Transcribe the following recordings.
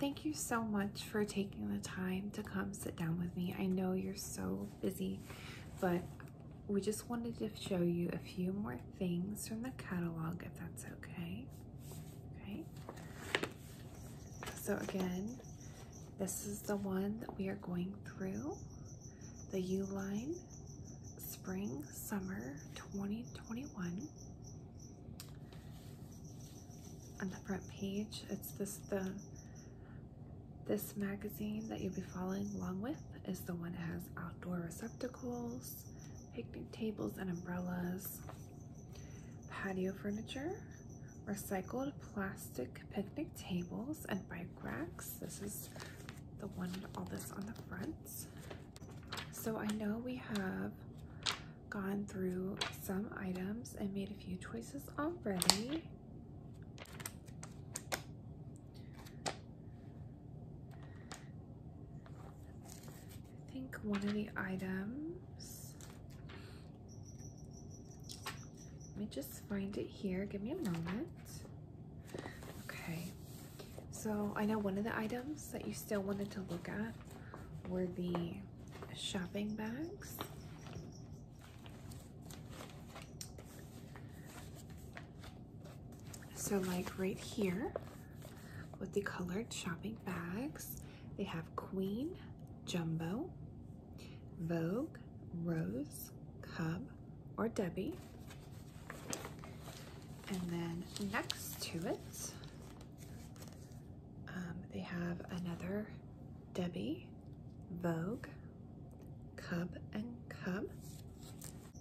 Thank you so much for taking the time to come sit down with me. I know you're so busy, but we just wanted to show you a few more things from the catalog, if that's okay. Okay. So again, this is the one that we are going through, the U-Line Spring Summer 2021 on the front page. It's this the this magazine that you'll be following along with is the one that has outdoor receptacles, picnic tables and umbrellas, patio furniture, recycled plastic picnic tables and bike racks. This is the one all this on the front. So I know we have gone through some items and made a few choices already. I think one of the items, let me just find it here. Give me a moment. Okay, so I know one of the items that you still wanted to look at were the shopping bags. So like right here with the colored shopping bags, they have Queen, Jumbo, Vogue, Rose, Cub, or Debbie. And then next to it, um, they have another Debbie, Vogue, Cub and Cub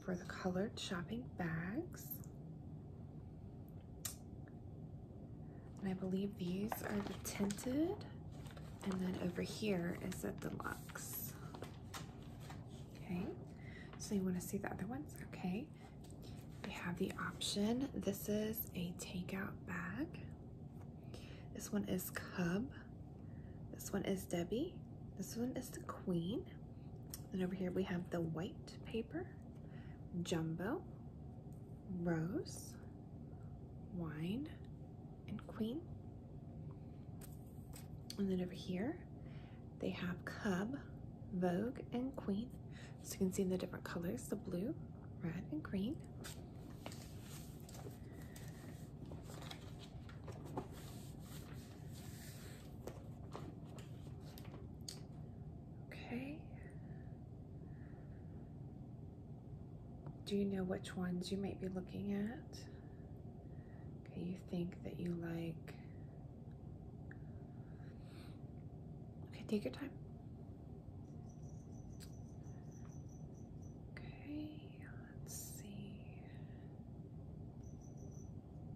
for the colored shopping bags. And I believe these are the tinted. And then over here is the deluxe. Okay, so you wanna see the other ones? Okay we have the option. This is a takeout bag. This one is Cub. This one is Debbie. This one is the Queen. And over here we have the white paper, Jumbo, Rose, Wine, and Queen. And then over here they have Cub, Vogue, and Queen. So you can see in the different colors, the blue, red, and green. Okay. Do you know which ones you might be looking at? Okay, you think that you like. Okay, take your time. Okay, let's see.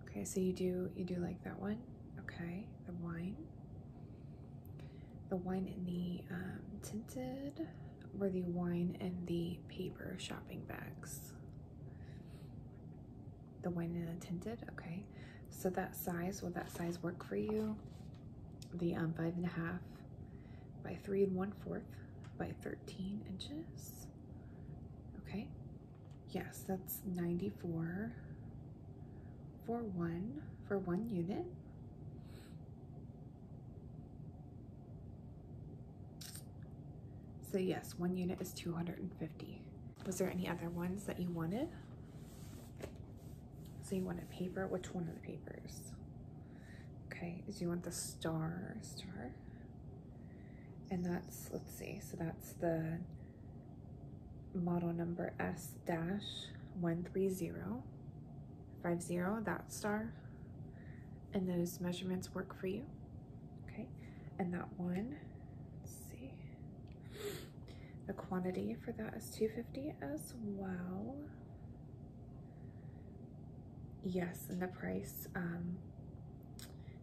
Okay, so you do you do like that one? Okay, the wine. The wine in the um, tinted or the wine and the paper shopping bags the one and the tinted, okay. So that size, will that size work for you? The um, five and a half by three and one fourth by 13 inches, okay. Yes, that's 94 for one, for one unit. So yes, one unit is 250. Was there any other ones that you wanted? So you want a paper? Which one of the papers? Okay, do you want the star star? And that's, let's see, so that's the model number S dash 13050, that star and those measurements work for you. Okay, and that one, let's see, the quantity for that is 250 as well. Yes, and the price, um,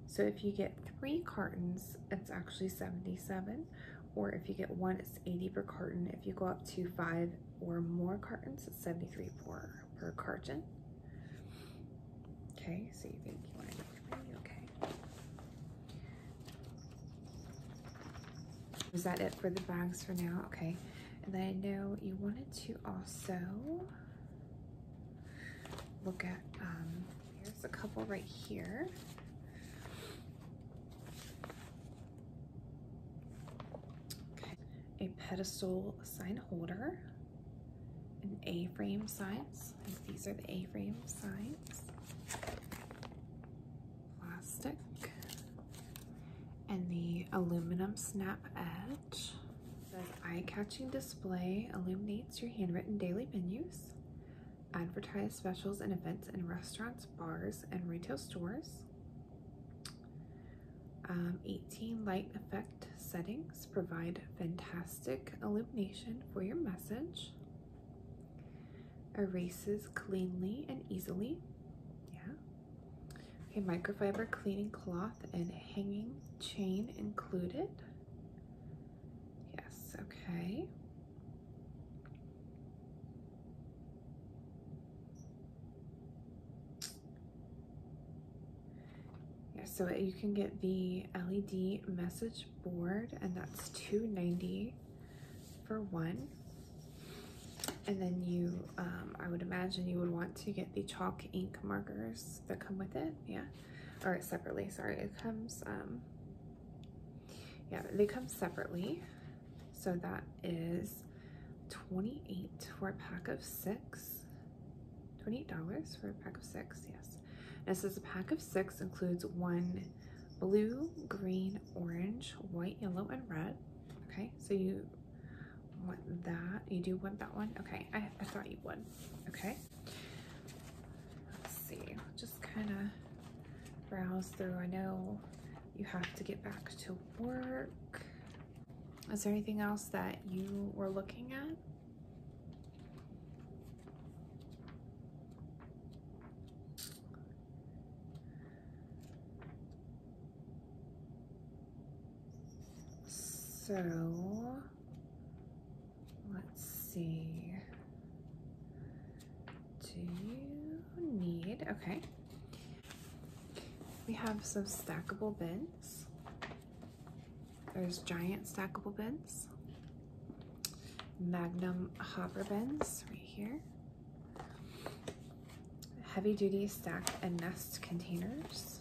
so if you get three cartons, it's actually 77, or if you get one, it's 80 per carton. If you go up to five or more cartons, it's 73 per, per carton. Okay, so you think you want to go to me, okay. Is that it for the bags for now? Okay. And then I know you wanted to also look at, um, here's a couple right here. Okay. A pedestal sign holder, and A-frame size. these are the A-frame size. Plastic. And the aluminum snap edge. The eye-catching display illuminates your handwritten daily menus. Advertise specials and events in restaurants, bars, and retail stores. Um, 18 light effect settings provide fantastic illumination for your message. Erases cleanly and easily. Yeah. Okay, microfiber cleaning cloth and hanging chain included. Yes, okay. Yeah, so you can get the LED message board and that's two ninety dollars for one. And then you, um, I would imagine you would want to get the chalk ink markers that come with it. Yeah, or separately, sorry. It comes, um, yeah, they come separately. So that is 28 for a pack of six. $28 for a pack of six, yes. And it says a pack of six includes one blue, green, orange, white, yellow, and red. Okay, so you want that. You do want that one? Okay, I, I thought you would. Okay. Let's see, just kind of browse through. I know you have to get back to work. Is there anything else that you were looking at? So let's see. Do you need, okay. We have some stackable bins. There's giant stackable bins, magnum hopper bins right here, heavy duty stack and nest containers,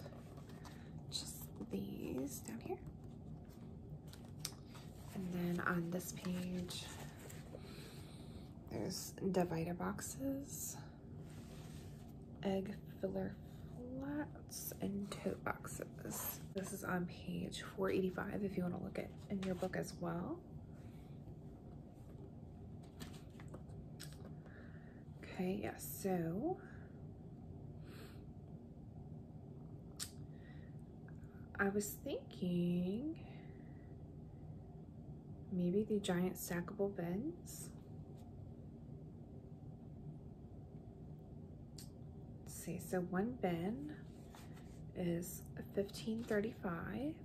just these down here. And then on this page, there's divider boxes, egg filler flats and tote boxes. This is on page 485 if you want to look at in your book as well. Okay, yeah, so I was thinking maybe the giant stackable bins. see, so one bin is 1535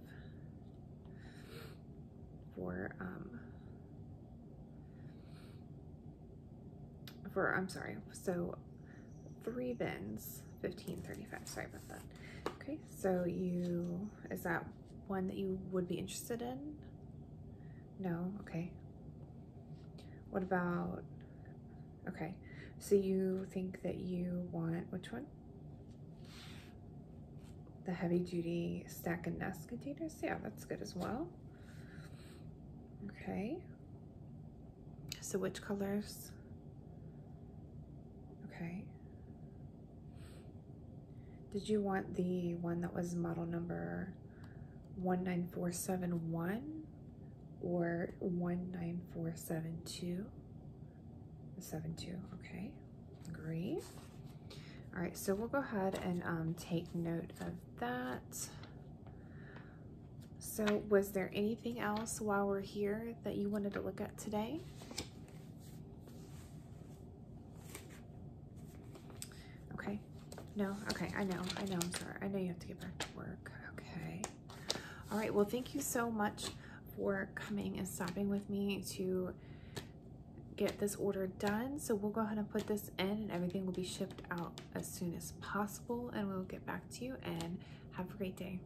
for um for I'm sorry, so three bins, 1535, sorry about that. Okay, so you, is that one that you would be interested in? No? Okay. What about... Okay. So you think that you want... Which one? The heavy-duty stack and nest containers? Yeah, that's good as well. Okay. So which colors? Okay. Did you want the one that was model number 19471 or 19472? 72, okay, great. All right, so we'll go ahead and um, take note of that. So was there anything else while we're here that you wanted to look at today? Okay. No? Okay, I know. I know. I'm sorry. I know you have to get back to work. Okay. All right. Well, thank you so much for coming and stopping with me to get this order done. So we'll go ahead and put this in and everything will be shipped out as soon as possible and we'll get back to you and have a great day.